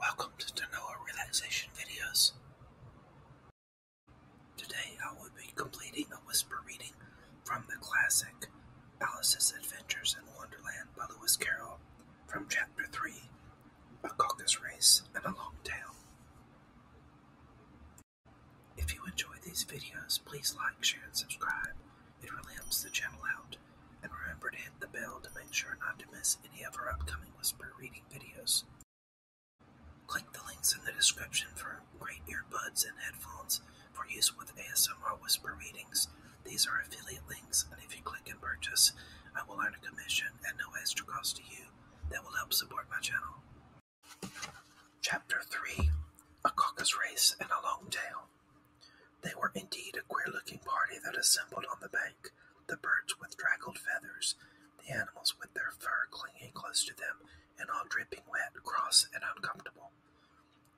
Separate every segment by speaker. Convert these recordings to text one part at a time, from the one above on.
Speaker 1: Welcome to Noah relaxation videos. Today I will be completing a whisper reading from the classic Alice's Adventures in Wonderland by Lewis Carroll from Chapter 3, A Caucus Race and a Long Tail. If you enjoy these videos, please like, share, and subscribe. It really helps the channel out. And remember to hit the bell to make sure not to miss any of our upcoming whisper reading videos. Click the links in the description for great earbuds and headphones for use with ASMR whisper readings. These are affiliate links, and if you click and purchase, I will earn a commission at no extra cost to you that will help support my channel. Chapter 3 A Caucus Race and a Long Tail they were indeed a queer-looking party that assembled on the bank, the birds with draggled feathers, the animals with their fur clinging close to them and all dripping wet, cross, and uncomfortable.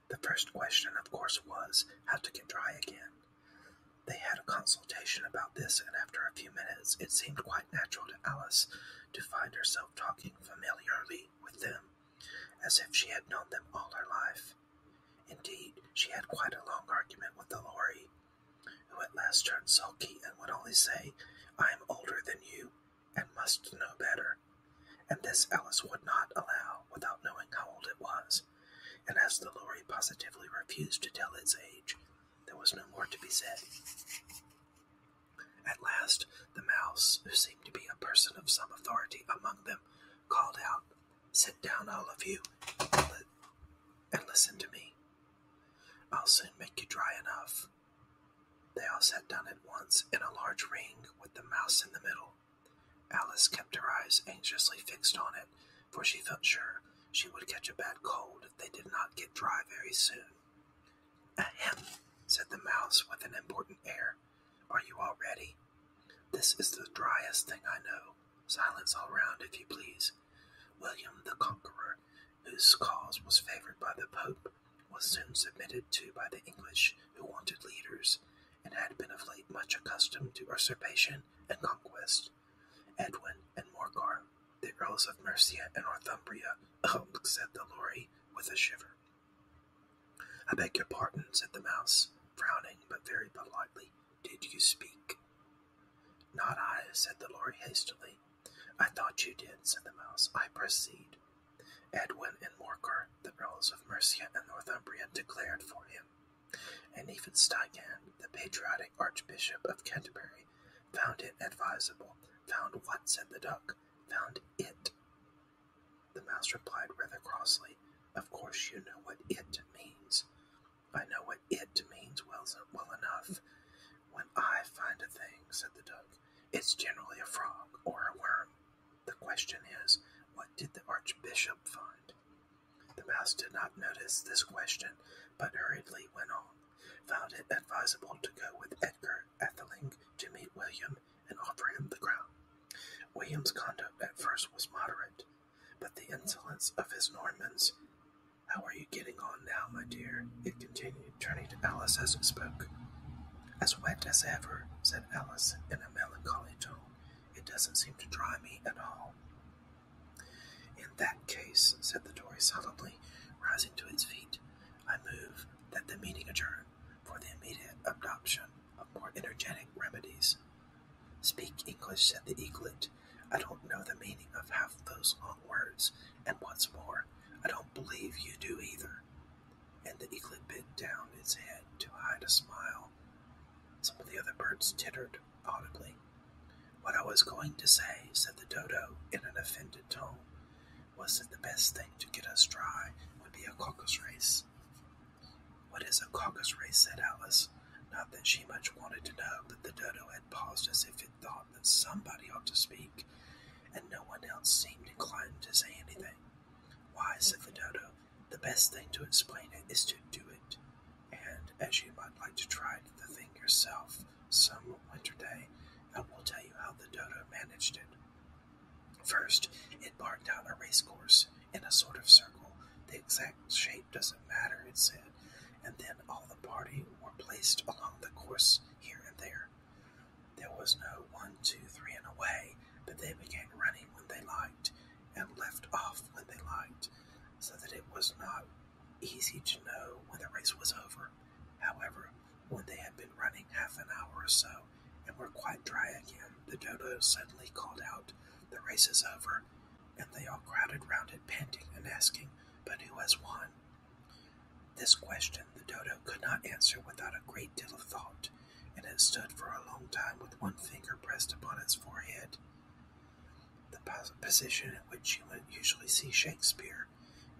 Speaker 1: The first question, of course, was how to get dry again. They had a consultation about this, and after a few minutes, it seemed quite natural to Alice to find herself talking familiarly with them, as if she had known them all her life. Indeed, she had quite a long argument with the lorry, who at last turned sulky and would only say, I am older than you and must know better. And this Alice would not allow without knowing how old it was, and as the lorry positively refused to tell its age, there was no more to be said. At last, the mouse, who seemed to be a person of some authority among them, called out, Sit down, all of you, and, and listen to me. I'll soon make you dry enough. They all sat down at once in a large ring with the mouse in the middle. Alice kept her eyes anxiously fixed on it, for she felt sure she would catch a bad cold if they did not get dry very soon. Ahem, said the mouse with an important air. Are you all ready? This is the driest thing I know. Silence all round, if you please. William the Conqueror, whose cause was favored by the Pope, was soon submitted to by the English, who wanted leaders, and had been of late much accustomed to usurpation and conquest. Edwin and Morcar, the Earls of Mercia and Northumbria, said the lorry with a shiver. I beg your pardon, said the mouse, frowning but very politely. Did you speak? Not I, said the lord hastily. I thought you did, said the mouse. I proceed. Edwin and Morcar, the earls of Mercia and Northumbria, declared for him, and even Stigand, the patriotic archbishop of Canterbury, found it advisable. Found what? said the duck. Found it the mouse replied rather crossly, Of course you know what it means. I know what it means well, enough. When I find a thing, said the duck, it's generally a frog or a worm. The question is, what did the archbishop find? The mouse did not notice this question, but hurriedly went on. Found it advisable to go with Edgar Atheling to meet William and offer him the crown. William's conduct at first was moderate, but the insolence of his Normans. How are you getting on now, my dear? It continued, turning to Alice as it spoke. As wet as ever, said Alice in a melancholy tone. It doesn't seem to dry me at all. In that case, said the Tory solemnly, rising to his feet, I move that the meeting adjourn for the immediate adoption of more energetic remedies. Speak English, said the eaglet. I don't know the meaning of half those long words, and what's more, I don't believe you do either. And the eaglet bent down its head to hide a smile. Some of the other birds tittered audibly. What I was going to say, said the dodo in an offended tone, was it the best thing to get us dry would be a caucus race? What is a caucus race? said Alice. Not that she much wanted to know, but the dodo had paused as if it thought that somebody ought to speak, and no one else seemed inclined to say anything. Why, said the dodo, the best thing to explain it is to do it. And as you might like to try the thing yourself some winter day, I will tell you how the dodo managed it. First, it marked out a race course in a sort of circle. The exact shape doesn't matter, it said, and then all the party were placed along the course here and there. There was no one, two, three, and away, but they began running when they liked and left off when they liked, so that it was not easy to know when the race was over. However, when they had been running half an hour or so, and were quite dry again, the dodo suddenly called out, "The race is over," and they all crowded round it, panting and asking, "But who has won?" This question the dodo could not answer without a great deal of thought, and it stood for a long time with one finger pressed upon its forehead. The position in which you would usually see Shakespeare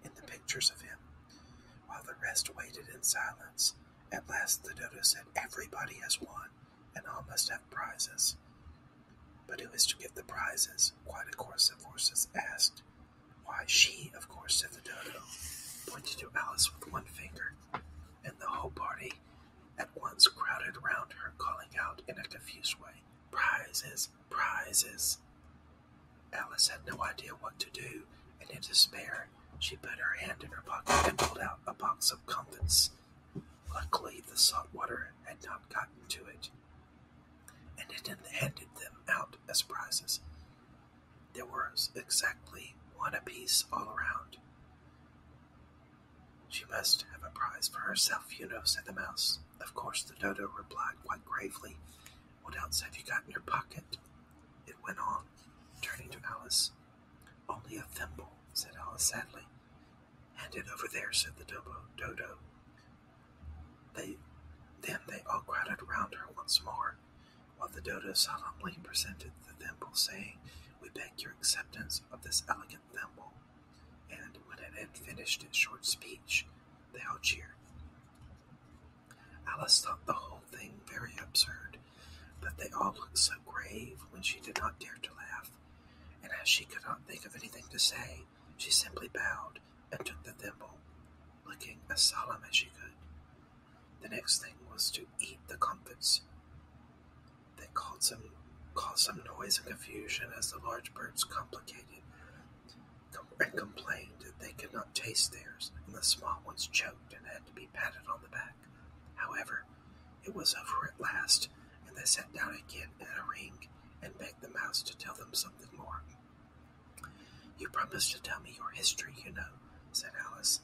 Speaker 1: in the pictures of him, while the rest waited in silence. At last the dodo said, Everybody has won, and all must have prizes. But who is to give the prizes? Quite a chorus of voices asked. Why, she, of course, said the dodo, pointing to Alice with one finger, and the whole party at once crowded round her, calling out in a confused way, Prizes! Prizes! Alice had no idea what to do, and in despair, she put her hand in her pocket and pulled out a box of comfits. Luckily, the salt water had not gotten to it, and it handed them out as prizes. There was exactly one apiece all round. She must have a prize for herself, you know, said the mouse of course, the dodo replied quite gravely. What else have you got in your pocket? It went on, turning to Alice. Only a thimble, said Alice sadly. Hand it over there, said the dodo. dodo. They, then they all crowded round her once more, while the dodo solemnly presented the thimble, saying, We beg your acceptance of this elegant thimble and when it had finished its short speech, they all cheered. Alice thought the whole thing very absurd, but they all looked so grave when she did not dare to laugh, and as she could not think of anything to say, she simply bowed and took the thimble, looking as solemn as she could. The next thing was to eat the comfits. They caused some, caused some noise and confusion as the large birds complicated and complained that they could not taste theirs, and the small ones choked and had to be patted on the back. However, it was over at last, and they sat down again at a ring and begged the mouse to tell them something more. You promised to tell me your history, you know, said Alice,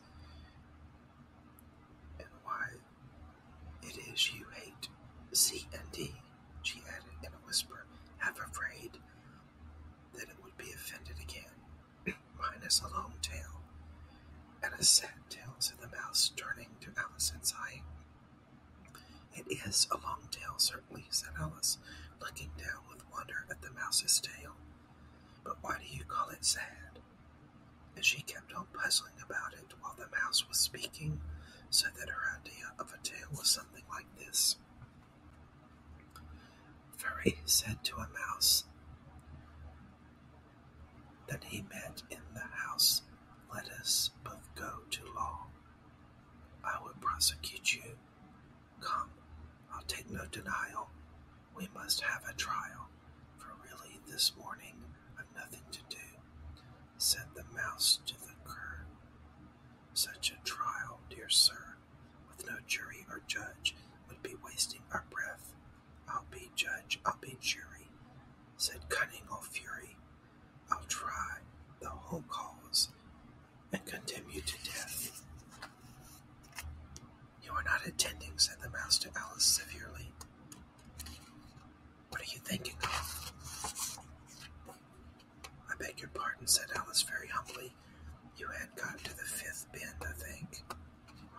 Speaker 1: and why it is you hate C and D, she added in a whisper, half afraid that it would be offended again. Minus a long tail. And a sad tail, said the mouse, turning to Alice and sighing. It is a long tail, certainly, said Alice, looking down with wonder at the mouse's tail. But why do you call it sad? And she kept on puzzling about it while the mouse was speaking, so that her idea of a tale was something like this. "Fairy said to a mouse that he met in the house, Let us both go to law. I will prosecute you. Come, I'll take no denial. We must have a trial, for really this morning I've nothing to do said the mouse to the cur. Such a trial, dear sir, with no jury or judge, would be wasting our breath. I'll be judge, I'll be jury, said cunning old fury. I'll try the whole cause and condemn you to death. You are not attending, said the mouse to Alice severely. What are you thinking of? I beg your pardon, said Alice very humbly. You had got to the fifth bin, I think.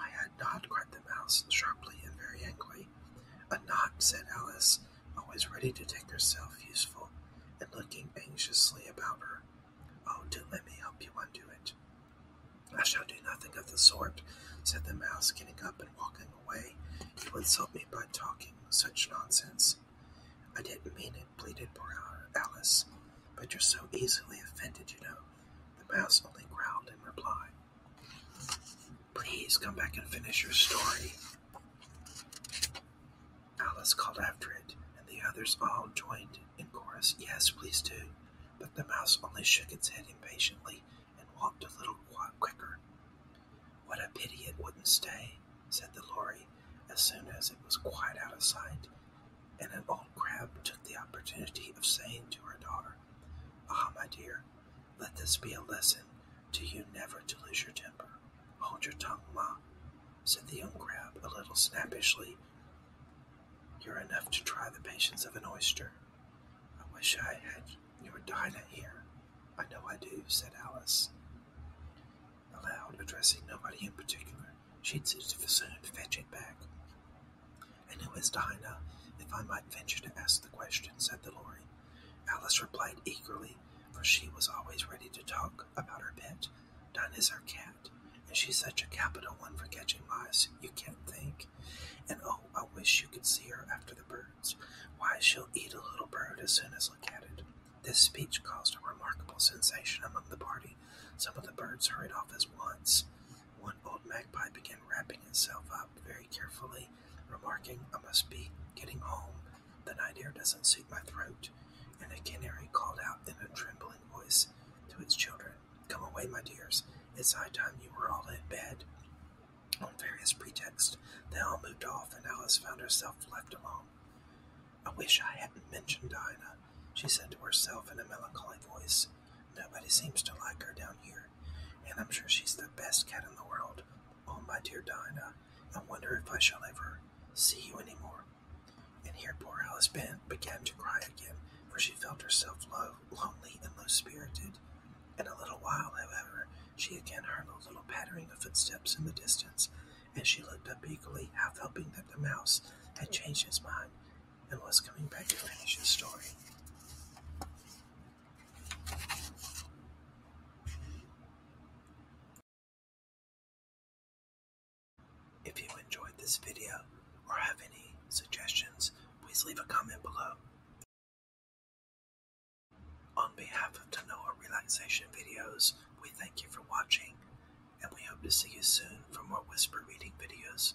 Speaker 1: I had not, cried the mouse, sharply and very angrily. A knot, said Alice, always ready to take herself useful, and looking anxiously about her. Oh, do let me help you undo it. I shall do nothing of the sort, said the mouse, getting up and walking away. You insult me by talking such nonsense. I didn't mean it, pleaded poor Alice, but you're so easily offended, you know. The mouse only growled in reply. Please come back and finish your story. Alice called after it, and the others all joined in chorus, Yes, please do. But the mouse only shook its head impatiently and walked a little quicker. What a pity it wouldn't stay, said the lorry as soon as it was quite out of sight, and an old crab took the opportunity of saying to her daughter, Ah, my dear, let this be a lesson to you never to lose your temper. Hold your tongue, ma, said the old crab a little snappishly. You're enough to try the patience of an oyster. "I wish I had your Dinah here, I know I do," said Alice, aloud, addressing nobody in particular. "She'd soon fetch it back." "And who is Dinah, if I might venture to ask the question?" said the Lory. Alice replied eagerly, for she was always ready to talk about her pet. Dinah is her cat. And she's such a capital one for catching mice, you can't think. And oh, I wish you could see her after the birds. Why, she'll eat a little bird as soon as look at it. This speech caused a remarkable sensation among the party. Some of the birds hurried off at once. One old magpie began wrapping itself up very carefully, remarking, I must be getting home. The night air doesn't suit my throat. And a canary called out in a trembling voice to its children, Come away, my dears. It's high time you were all in bed. On various pretexts, they all moved off, and Alice found herself left alone. I wish I hadn't mentioned Dinah, she said to herself in a melancholy voice. Nobody seems to like her down here, and I'm sure she's the best cat in the world. Oh, my dear Dinah, I wonder if I shall ever see you any more. And here poor Alice ben began to cry again, for she felt herself low, lonely and low-spirited. In a little while, however, she again heard a little pattering of footsteps in the distance, and she looked up eagerly, half hoping that the mouse had changed his mind and was coming back to finish his story. If you enjoyed this video or have any suggestions, please leave a comment below. On behalf of Tanoa Relaxation Videos, we thank you for watching and we hope to see you soon for more whisper reading videos.